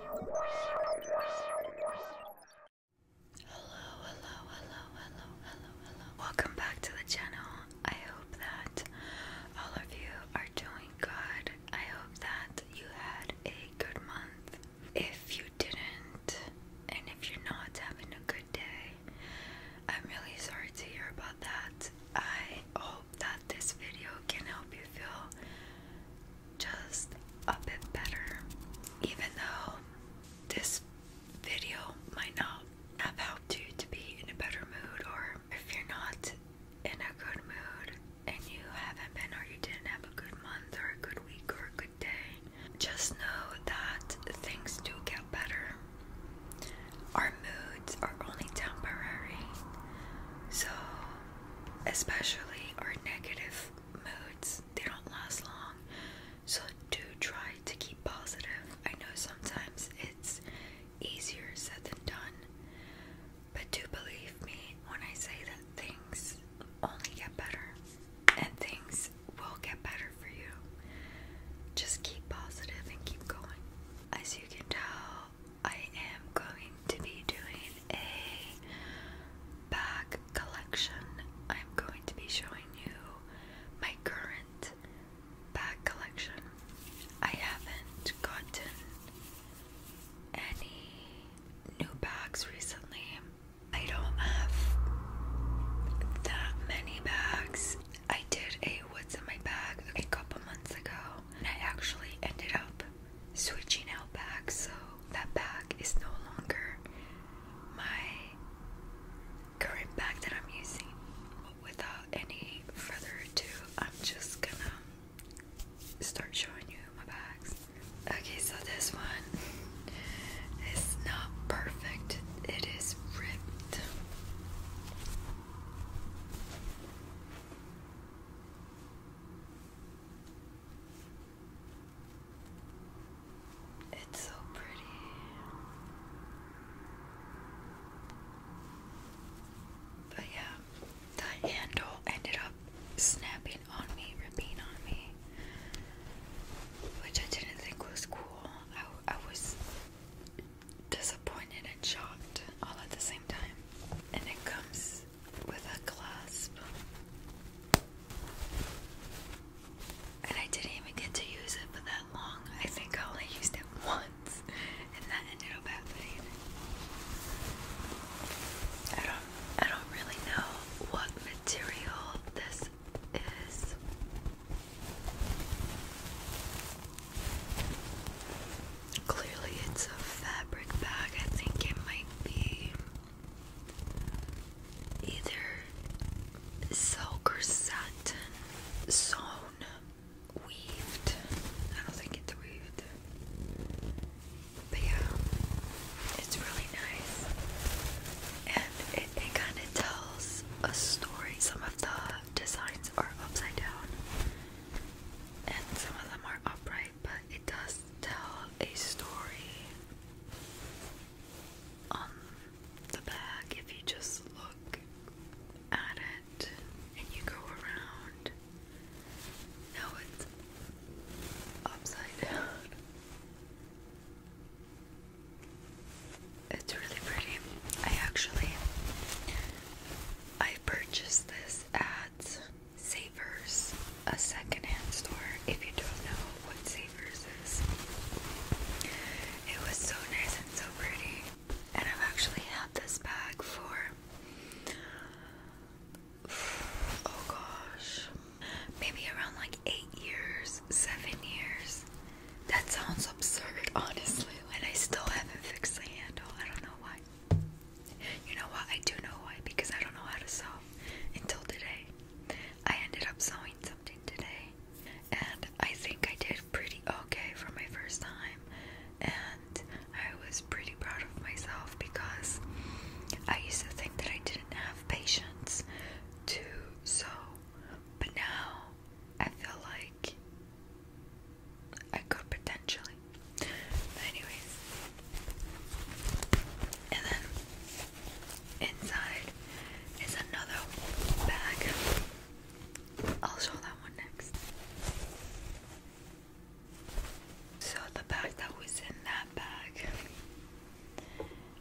Hello, hello, hello, hello, hello, hello. Welcome back to the channel. I hope that all of you are doing good. I hope that you had a good month. If you didn't, and if you're not having a good day, I'm really sorry to hear about that. I hope that this video can help you feel just a bit better. Even though this video might not have helped you to be in a better mood, or if you're not in a good mood and you haven't been, or you didn't have a good month, or a good week, or a good day, just know that things do get better. Our moods are only temporary. So especially our negative moods, they don't last long. So do try to keep positive. I know sometimes it's easier said than done, but do believe me when I say that things only get better and things will get better for you. Just keep positive and keep going. As you can tell, I am going to be doing a bag collection. I'm going to be showing you my current bag collection. I haven't gotten any new bags recently. I don't have that many bags. I did a what's in my bag a couple months ago and I actually ended up switching out back so that bag is no longer my current bag that I'm using. Without any further ado, I'm just gonna start showing you my bags. Okay, so this one is not perfect, it is ripped. It's so pretty. But yeah, that handle ended up snapping on me, ripping on me, which I didn't think was cool. I, I was disappointed and shocked all at the same time. And it comes with a clasp. And I didn't even get to use it for that long. I think I only used it once, and that ended up happening. I don't, I don't really know what material this is. Clearly, it's a fabric bag. I think it might be either silk or satin sewn, weaved. I don't think it's weaved. But yeah, it's really nice. And it, it kind of tells a story. Some of the designs are upside down, and some of them are upright but it does tell a story on the back if you just look at it and you go around. Now it's upside down. It's really pretty. I actually I purchased this at Savers, a secondhand store. If you don't know what Savers is, it was so nice and so pretty. And I've actually had this bag for oh gosh, maybe around like eight years, seven years. That sounds absurd, honestly. And I still haven't fixed the handle. I don't know why. You know what? I do know why because I don't know how to sew until today. I ended up sewing something today, and I think I did pretty okay for my first time. And I was pretty proud of myself because I used to think that I didn't have patience to sew, but now I feel like I could potentially. anyways. And then inside is another bag. I'll show that one next. So the bag that was in that bag.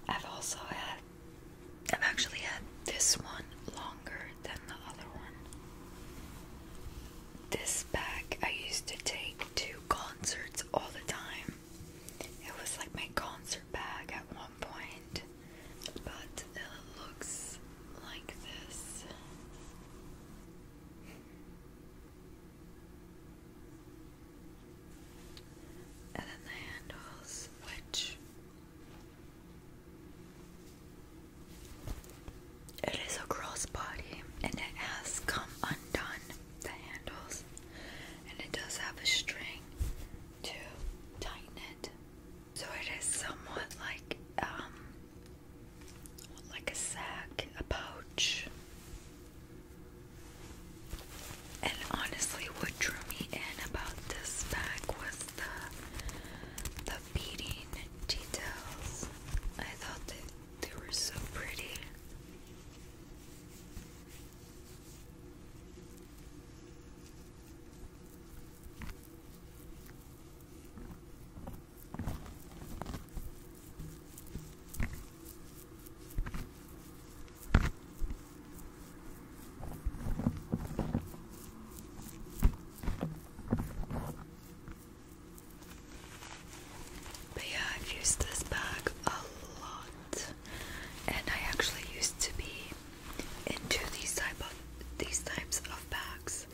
I've also had I've actually had this one longer than the other one this bag I used to take to concerts all the time. It was like my concert bag at one point, but it looks like this. And then the handles, which it is a girl's body and it has come undone, the handles, and it does have a string to tighten it. So it is somewhat like um like a sack, a pouch. And honestly what drew me in about this bag was the the beading details. I thought that they were so pretty. But yeah, I've used this bag a lot, and I actually used to be into these type of these types of bags.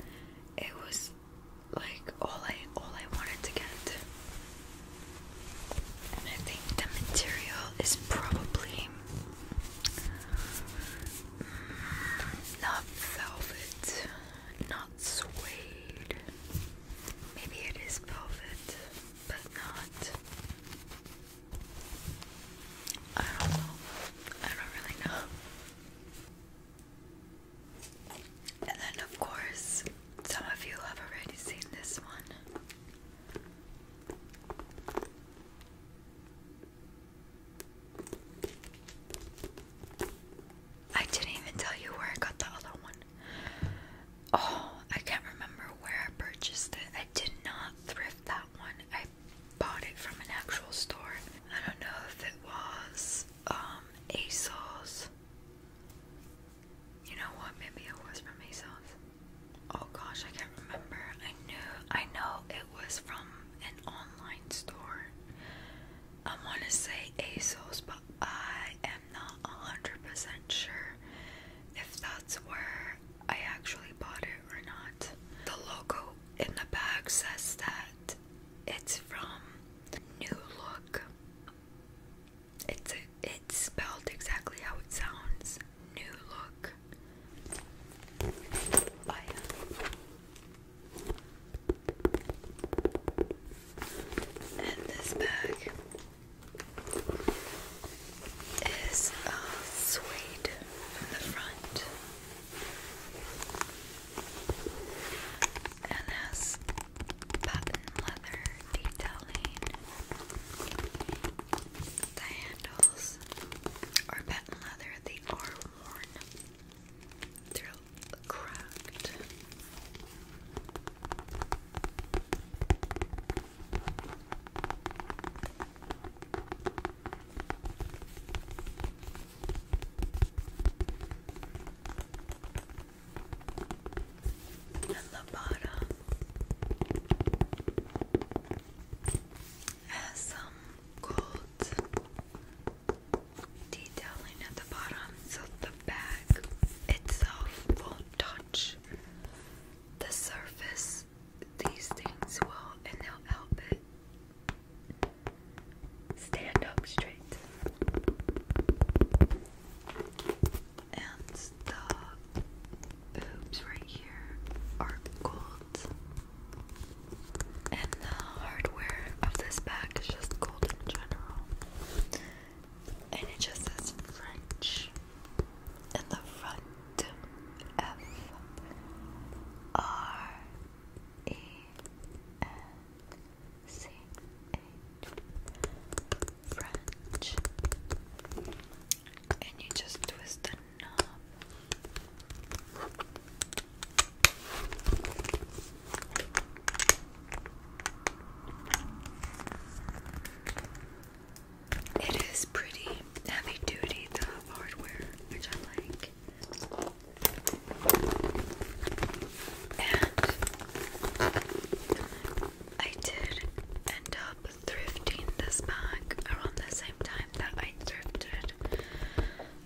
It was like all I all I wanted to get, I think the material is probably not velvet, not not suede. Maybe it is velvet, but not. I don't know. I don't really know. And then, of course, some of you have already seen this one. I didn't even tell you where I got the other one. Oh, I can't remember where I purchased it. I did not thrift that one. I bought it from an actual store. I don't know if it was um ASOS. You know what? Maybe it was from ASOS. Oh gosh, I can't remember. I knew I know it was from an online store. I want to say ASOS, but I am not 100% sure if that's where I actually bought it or not. The logo in the bag says that it's from New Look. It's, it's spelled exactly how it sounds New Look. Oh, and this bag is a uh, suede from the front and as patent leather detailing. The handles are patent leather, they are worn. they cracked. the bottom has some gold detailing at the bottom so the bag itself won't touch the surface. These things will, and they'll help it stand up straight. And the boobs right here are gold. And the hardware of this bag is just gold in general and it just says French in the front. F R E N C H French, and you just twist the knob. It is pretty heavy duty, the hardware, which I like. And I did end up thrifting this bag around the same time that I thrifted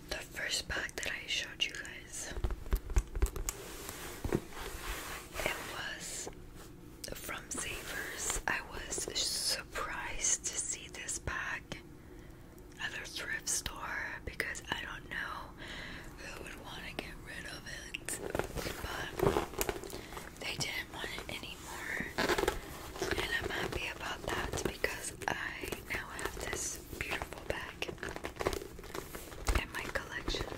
the first bag that I showed you guys it was from Savers. I was surprised to see this bag at a thrift store because I don't know who would want to get rid of it, but they didn't want it anymore, and I'm happy about that because I now have this beautiful bag in my collection.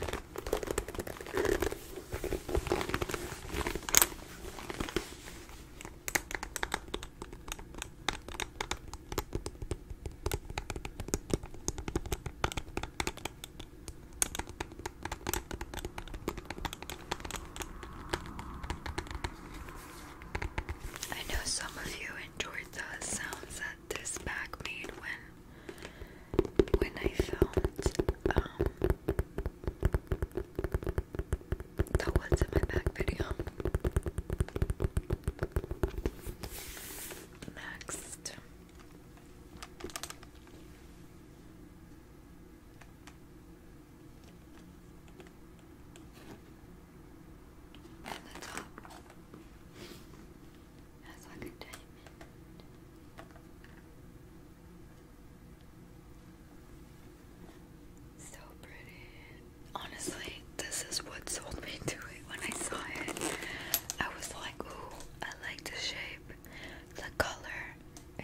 I know some of you enjoyed the sounds that this back made when when I filmed um the what's in my bag video. Next. On the top. That's like a diamond. So pretty. Honestly, this is what sold me to it. When I saw it, I was like, ooh, I like the shape. The color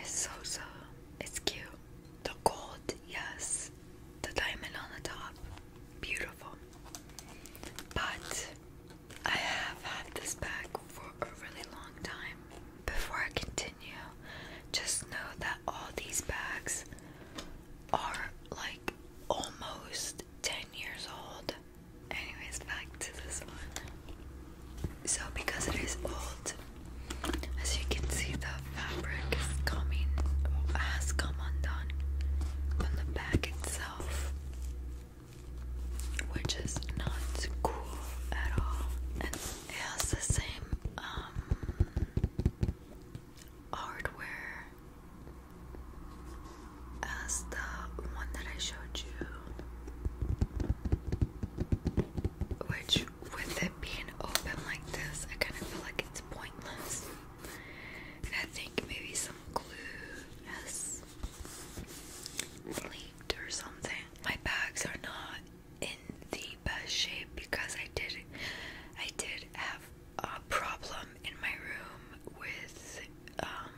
is so so. It's cute. The gold, yes. The diamond on the top. Beautiful. But I have had this bag for a really long time. Before I continue, just know that all these bags are like almost 10 years old. Anyways, back to this one. So, because it is old, as you can see, the fabric is coming, has come undone from the bag itself which is not cool at all. And it has the same um, hardware as the one that I showed you. Which, with it being open like this, I kind of feel like it's pointless. And I think maybe some glue Yes leaked or something. My bags are not in the best shape because I did I did have a problem in my room with um,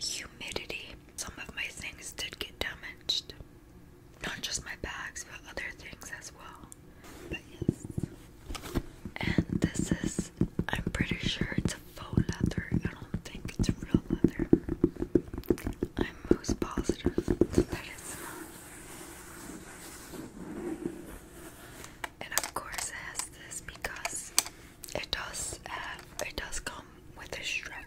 humidity. Some of my things did get damaged. Not just my bags, but other things as well. But yes. And this is I'm pretty sure it's faux leather. I don't think it's real leather. I'm most positive that it's not. And of course, it has this because it does have, it does come with a strap.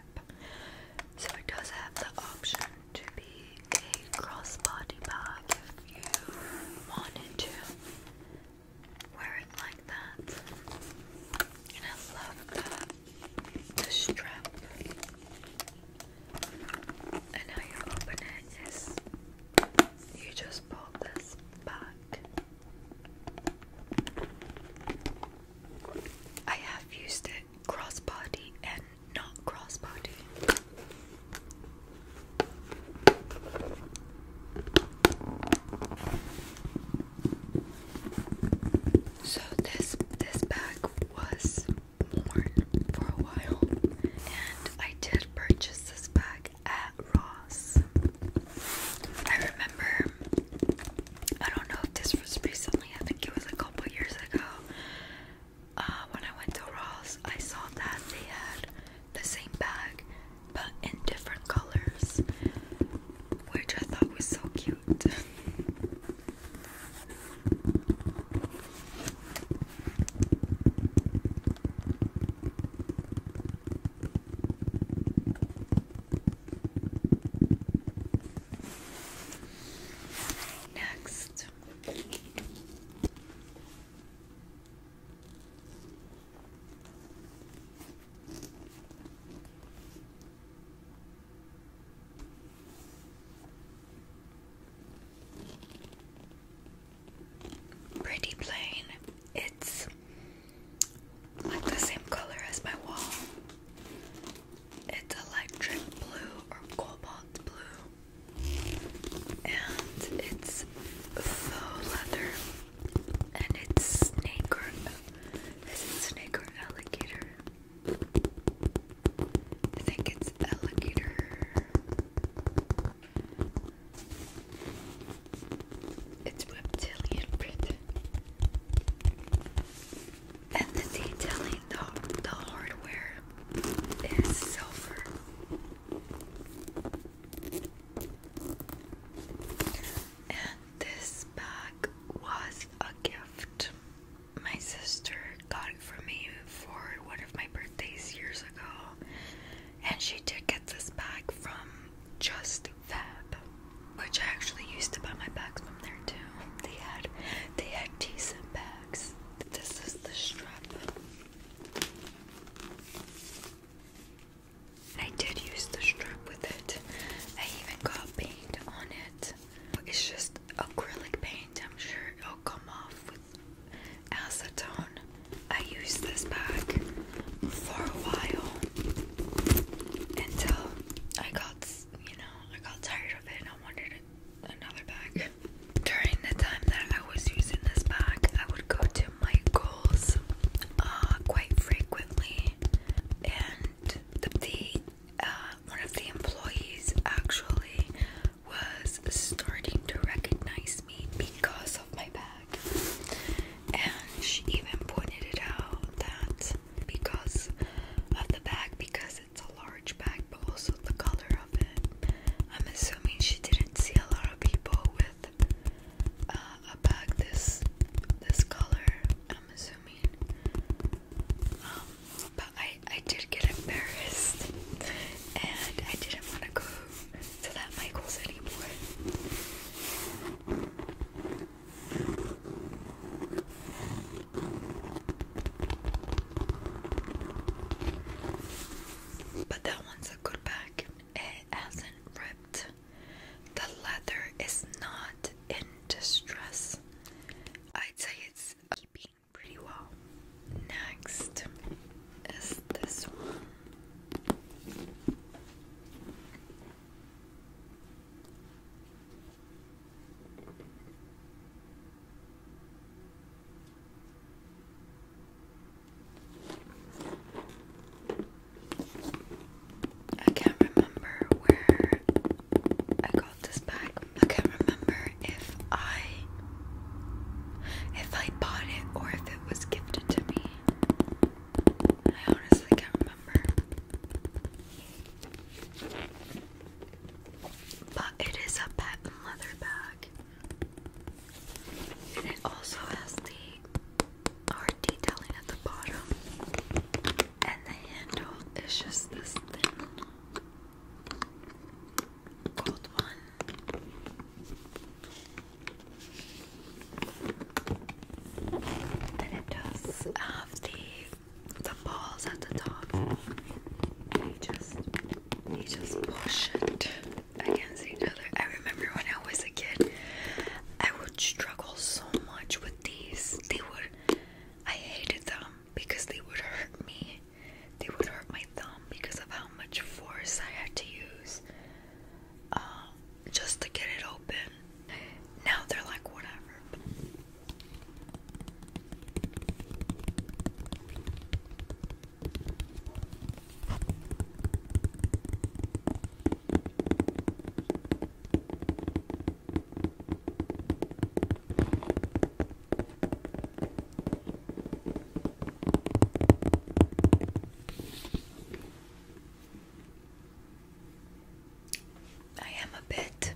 So it does have the option to be a crossbody bag if you wanted to wear it like that. And I love the, the strap. And how you open it is you just pull this back. I have used it crossbody and not crossbody. So this this bag was worn for a while and I did purchase this bag at Ross. I remember I don't know if this was recently, I think it was a couple years ago. Uh, when I went to Ross, I saw that they had the same bag but in different colors, which I thought was so cute. Next, Pretty plain. It's like the same color as my wall. It's electric blue or cobalt blue. And it's faux leather. And it's snake or snake or alligator? I think it's alligator. It's reptilian print. And the detailing, the, the hardware is silver. And this bag was a gift. My sister got it for me for one of my birthdays years ago, and she did get this bag from Just Fab, which I actually used to buy my bags from there too. They had they had decent bags. This is the strap. I did use the strap with it. I even got paint on it. It's just acrylic paint. I'm sure it'll come off with acetone. I used this bag for a while until I got, you know, I got tired of it and I wanted another bag. During the time that I was using this bag, I would go to Michael's uh, quite frequently, and the, uh, one of the employees actually was starting to recognize me because of my bag, and she even pointed it out that because of the bag, because it's a large bag, but also the color of it. I'm assuming she didn't see a lot of people with with uh, this this color. I'm assuming. Um, but I I did get embarrassed, and I didn't want to go to that Michaels anymore. But that one's a good bag. It hasn't ripped. The leather is not in distress. I'd say it's keeping pretty well. Next is this one. I can't remember where I got this bag. I can't remember if I if I bought it or if it was gifted to me. I honestly can't remember. But it is a patent leather bag. And it also has the hard detailing at the bottom, and the handle is just this thin gold one. Then it does have the the balls at the top. You just you just push it against each other. I remember when I was a kid, I would struggle so much with these. They would, I hated them because they would hurt me. They would hurt my thumb because of how much force I had to use um, just to get it open. Now they're like, whatever. I am a bit,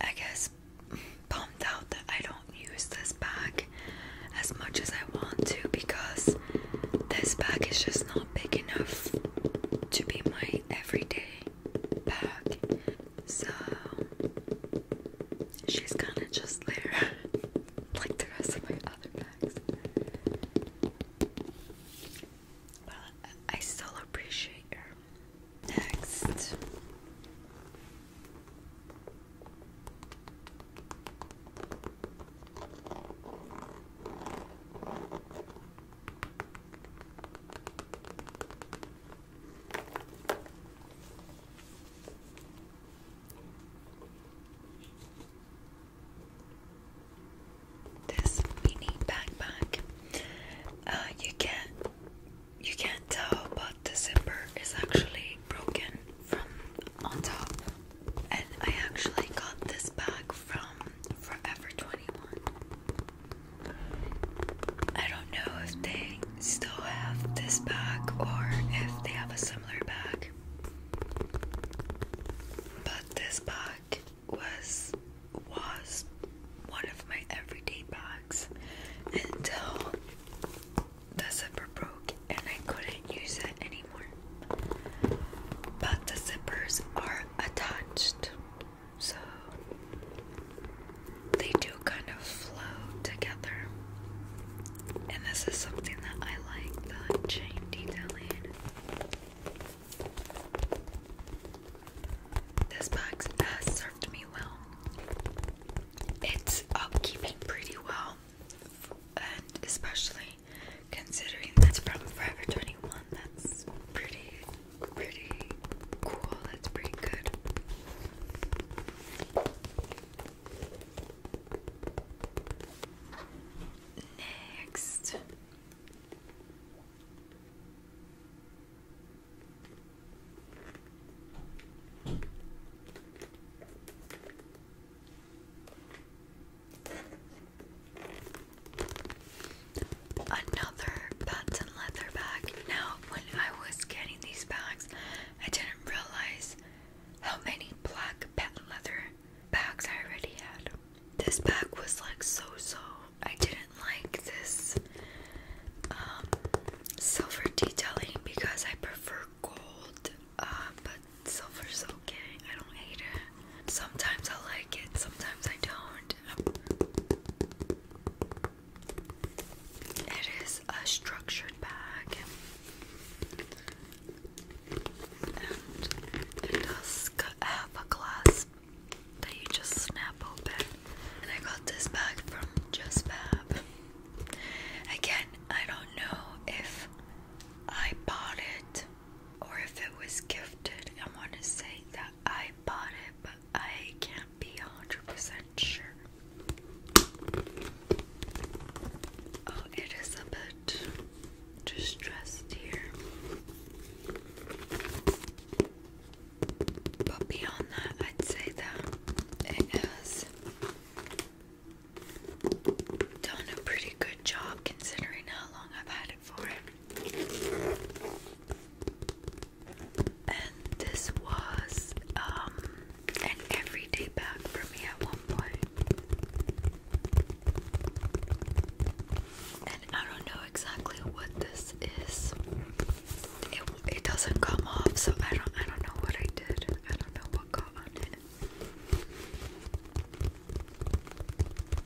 I guess, bummed out that I don't use this bag as much as I want to because this bag is just not big enough to be my everyday bag. So she's kind of just there, like the rest of my other bags. Well, I still appreciate her. Next. This mini backpack. Uh, you can't you can't tell, but the zipper is actually broken from on top. And I actually got this bag from Forever 21. I don't know if they still have this bag or if they have a similar bag. But this bag was was one of my everyday bags until the zipper broke and I couldn't use it anymore but the zippers are attached, so they do kind of flow together. And this is something that I like the chain detailing. This box has served me well. It's keeping pretty well, and especially Considering that's from Forever 21, that's pretty, pretty cool. That's pretty good. Next. Another bats leather bag. Now, when I was getting these bags, I didn't realize how many black patent leather bags I already had. This bag was like so so. I didn't like this um, silver detailing because I prefer gold, uh, but silver's okay. I don't hate it. Sometimes I like it, sometimes I don't. It is a structured bag and it does have a clasp that you just snap open. And I got this bag from Just Again, I don't know if I bought it or if it was gifted. I want to say that I bought it, but I can't be 100% sure. Oh, it is a bit distressed here. But beyond that, I'd say that it has done a pretty good job considering how long I've had it And this was um, an everyday bag for me at one point. And I don't know exactly what this is. it doesn't come off, so I don't I don't know what I did. I don't know what got on it.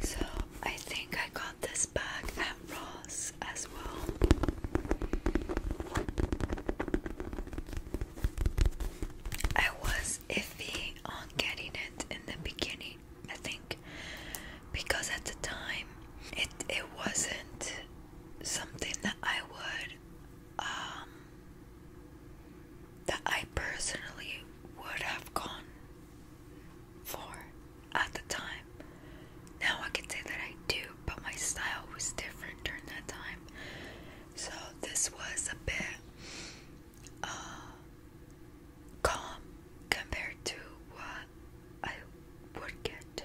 So I think I got this back at Ross as well. I was iffy on getting it in the beginning, I think, because at the time it it wasn't something that I would um that I personally would have gone for at the time. Now I can say that I do but my style was different during that time. So this was a bit uh, calm compared to what I would get.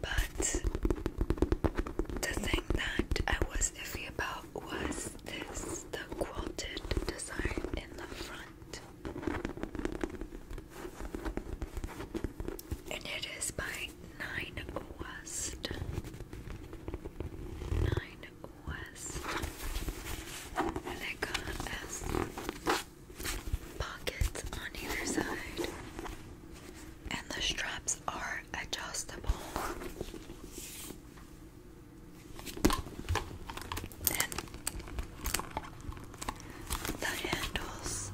But the thing that I was iffy about was this the quilted design in the front. And it is mine nine west. Nine west. And got pockets on either side. And the straps are adjustable. And the handles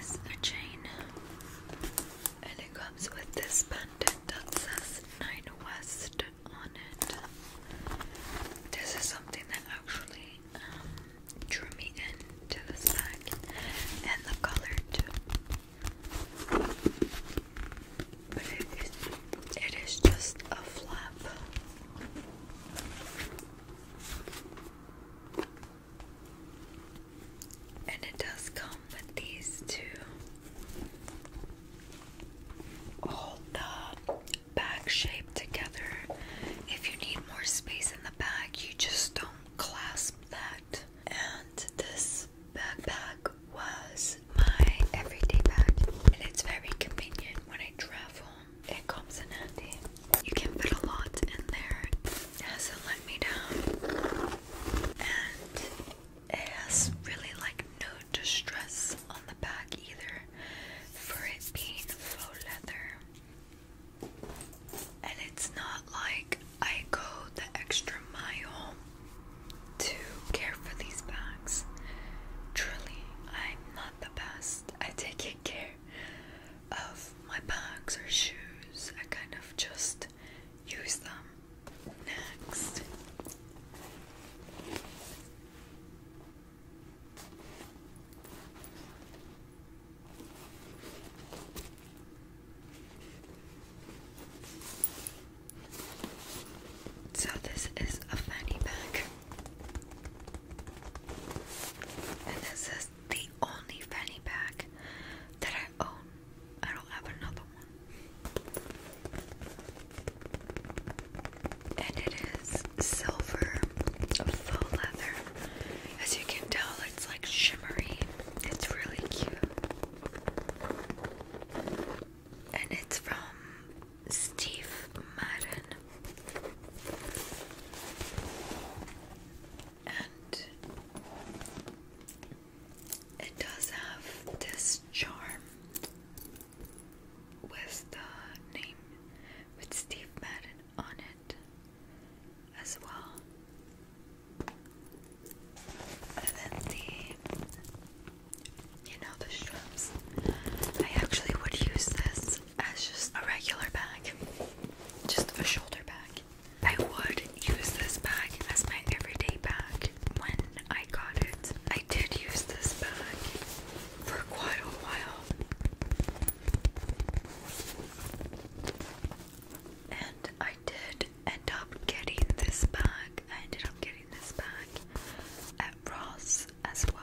is a chain. And it comes with this pendant that says Nine West on it. This is something that actually um, drew me into this bag and the color too. But it is, it is just a flap. And it does come with these two hold the bag shape together. If you need more space in the bag, you just don't clasp that. And this backpack was my everyday bag, and it's very convenient when I travel. It comes in handy. You can fit a lot in there. It hasn't let me down and it has really like no distress on the back either for it being faux leather and it's not like I go the extra mile to care for these bags truly I'm not the best I take care of my bags or shoes I kind of just use them next. So, this is a fanny pack, and this is the only fanny pack that I own. I don't have another one. And it is silver faux leather. As you can tell, it's like shimmery. It's really cute. And it's from Steve Madden. And it does have this charm with the name with Steve Madden on it as well. And then the, you know, the straps. I actually would use this as just a regular bag, just a shoulder bag. I would use this bag as my everyday bag when I got it. I did use this bag for quite a while. And I did end up getting this bag. I ended up getting this bag at Ross as well.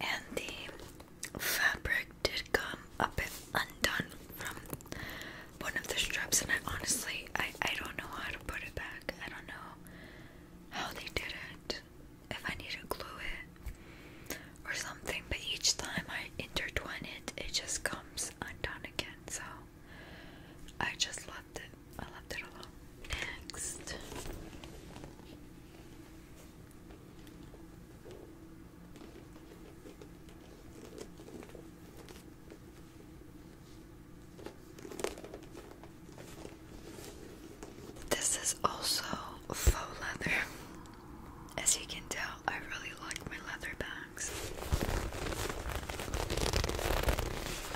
And the fabric did come a bit undone from one of the straps, and I honestly, I I don't know how to put it back. I don't know how they did it if I need to glue it or something, but each time I intertwine it, it just comes undone again. So I just left it. I left it alone. Next. This is also faux leather. As you can tell, I really like my leather bags.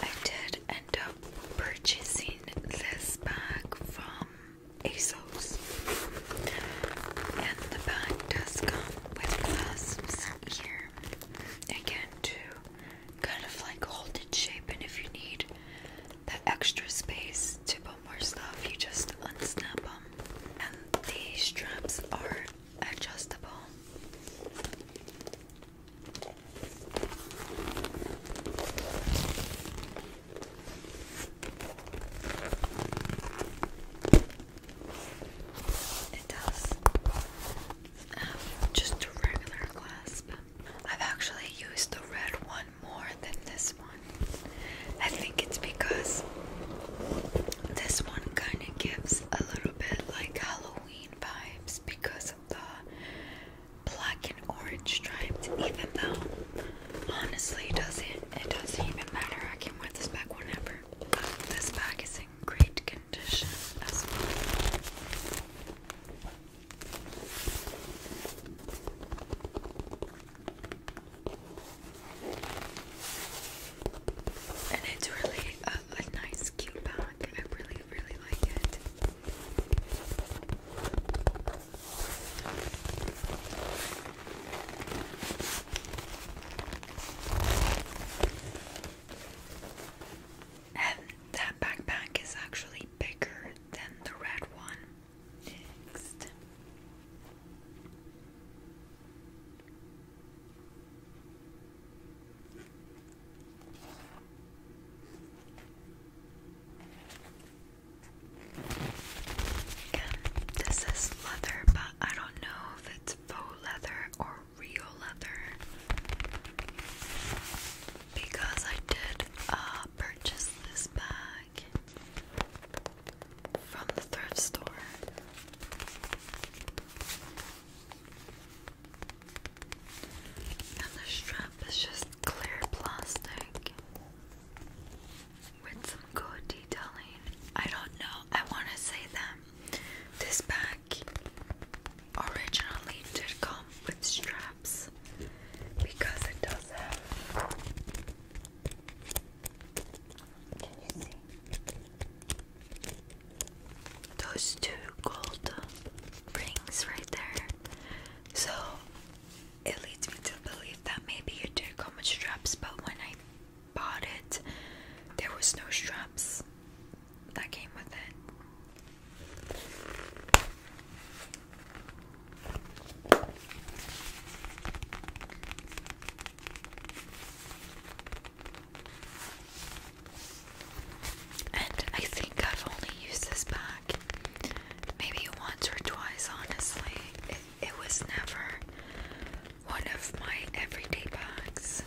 I did end up purchasing this bag from ASOS. And the bag does come with clasps here. Again, to kind of like hold it shape, and if you need that extra space to put more stuff, you just unsnap them. And these straps are adjustable. It does have um, just a regular clasp. I've actually used the red one more than this one. I think it's because this one kind of gives a little bit like Halloween vibes because of the black and orange stripes, even though honestly it doesn't it doesn't even matter. I can wear this bag whenever. This bag is in great condition as well. And it's really a, nice, cute bag. I really, really like it. And that backpack is actually bigger than the red one this is leather, but I don't know if it's faux leather or real leather because I did uh, purchase this from the thrift store. And the strap is just clear plastic with some good detailing. I don't know, I want to say that this bag originally did come with straps because it does have. Those two gold rings right there. So it leads me to believe that maybe you did come with straps, but when I bought it, there was no straps that came with it. And I think I've only used this pack maybe once or twice, honestly. It, it was never one of my everyday bags.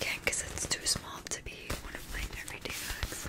Again, because it's too small to be one of my everyday bags.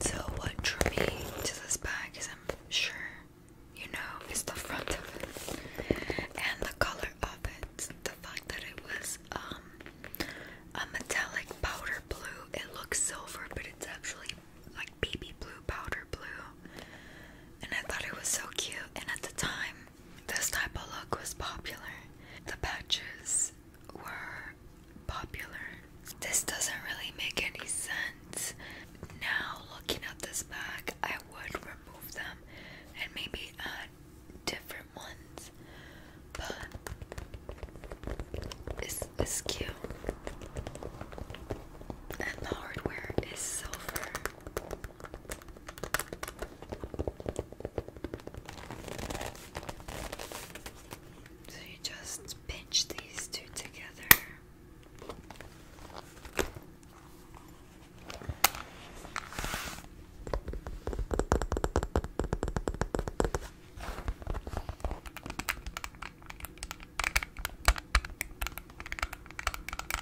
So, what drew me to this bag is, I'm sure you know, is the front of it and the color of it. The fact that it was um, a metallic powder blue. It looks silver, but it's actually like baby blue, powder blue. And I thought it was so cute. And at the time, this type of look was popular. The patches were popular. This doesn't really make any sense. Now, looking at this bag, I would remove them and maybe add different ones. But it's, it's cute. And the hardware is silver. So you just pinch these two together.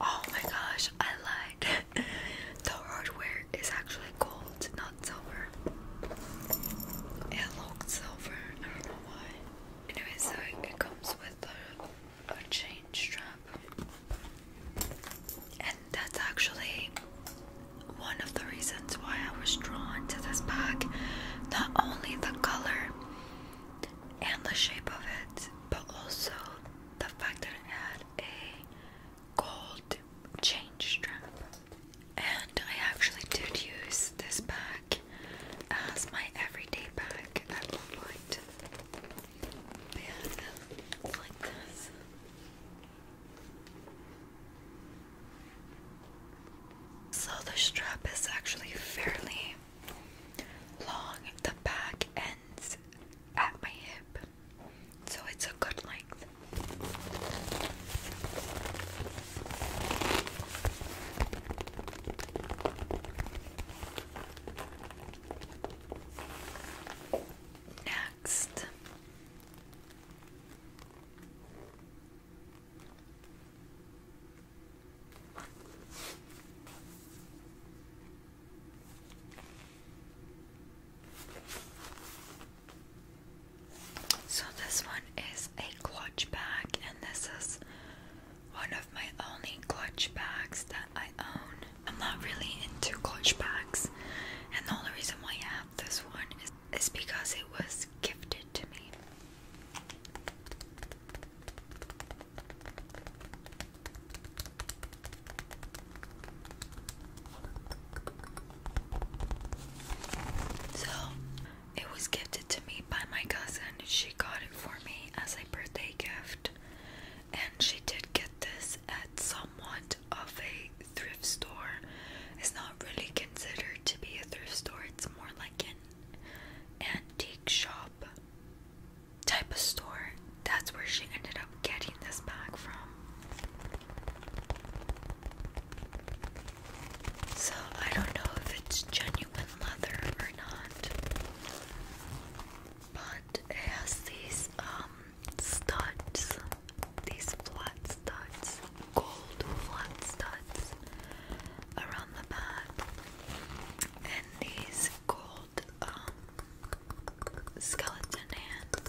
Oh my gosh, I lied. the hardware is actually gold, not silver. It looks silver, I don't know why. Anyway, so it comes with a, a chain strap. And that's actually one of the reasons why I was drawn to this bag. Not only the color and the shape of it, but also the fact that it had a gold chain strap. And I actually did use this bag as my everyday bag at one point. yeah, like this. So the strap is actually fairly long. The back ends at my hip, so it's a good length. Next. So, this one is a clutch bag, and this is one of my only clutch bags that I own. I'm not really into clutch bags, and the only reason why I have this one is, is because it was gifted to me. So it was gifted to me by my cousin. She got it for me as a birthday gift, and she did get this at somewhat of a thrift store. It's not really considered to be a thrift store, it's more like an antique shop type of store. That's where she ended up getting this bag from. So I don't know if it's genuine leather or not. But it has these um studs. These flat studs. Gold flat studs around the back. And these gold um, skeleton hand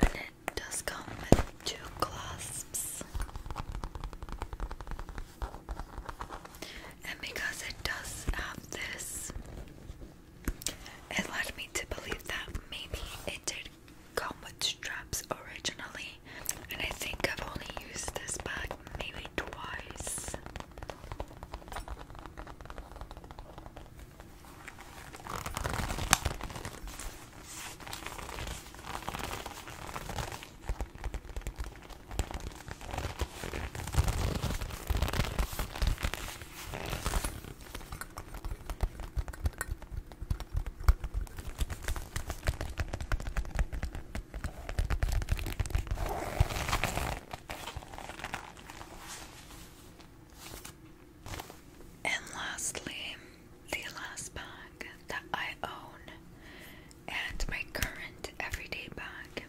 And it does come with two cloths. And because it does have this, it led me to believe that maybe it did come with straps originally. And I think I've only used this bag maybe twice. And lastly, the last bag that I own and my current everyday bag.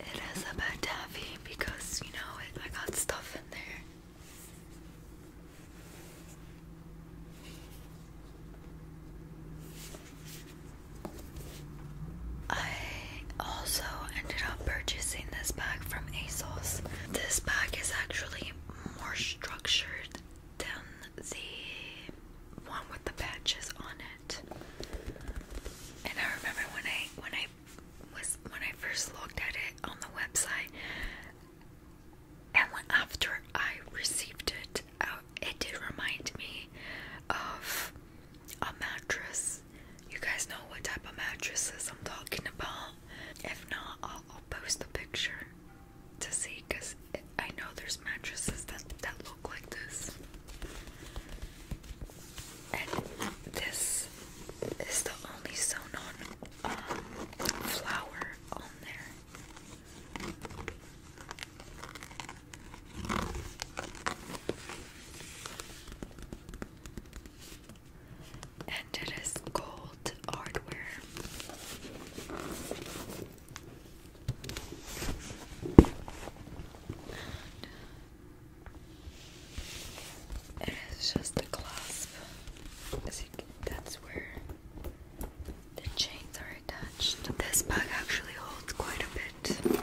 It is a bit heavy because you know I got stuff in there. I also ended up purchasing this bag from ASOS. This bag is actually more structured than the one with the patches on it. And I remember when I when I was when I first looked at it on the website and after I received it, uh, it did remind me of a mattress. You guys know what type of mattresses I'm talking about. If not, I'll, post a picture to see because I know there's mattresses that, that look like this. And this is the only sewn on um, flower on there and it is gold hardware. it is just a clasp. As you that's where the chains are attached. This bag actually holds quite a bit.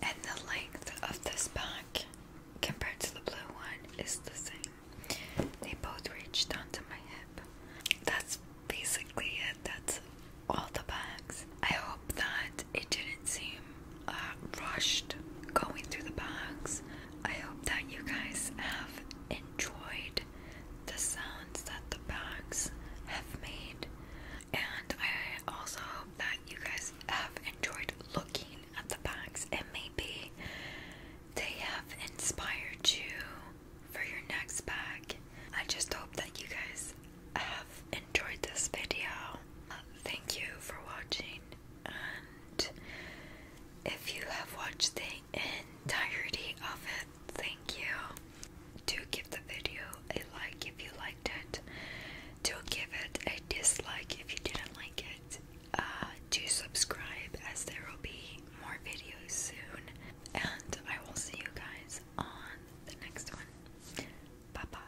And the length of this pack compared to the blue one is the same. They both reach down to my hip. That's basically it. That's all the bags. I hope that it didn't seem uh, rushed going through the bags. I hope that you guys have enjoyed the sounds that the bags have made. And I also hope that you guys have enjoyed looking at the bags and maybe they have inspired you for your next bag. I just hope that you guys have enjoyed this video. Uh, thank you for watching, and if you have watched the entirety of it. Thank you. Do give the video a like if you liked it. Do give it a dislike if you didn't like it. Uh, subscribe as there will be more videos soon. And I will see you guys on the next one. Bye bye.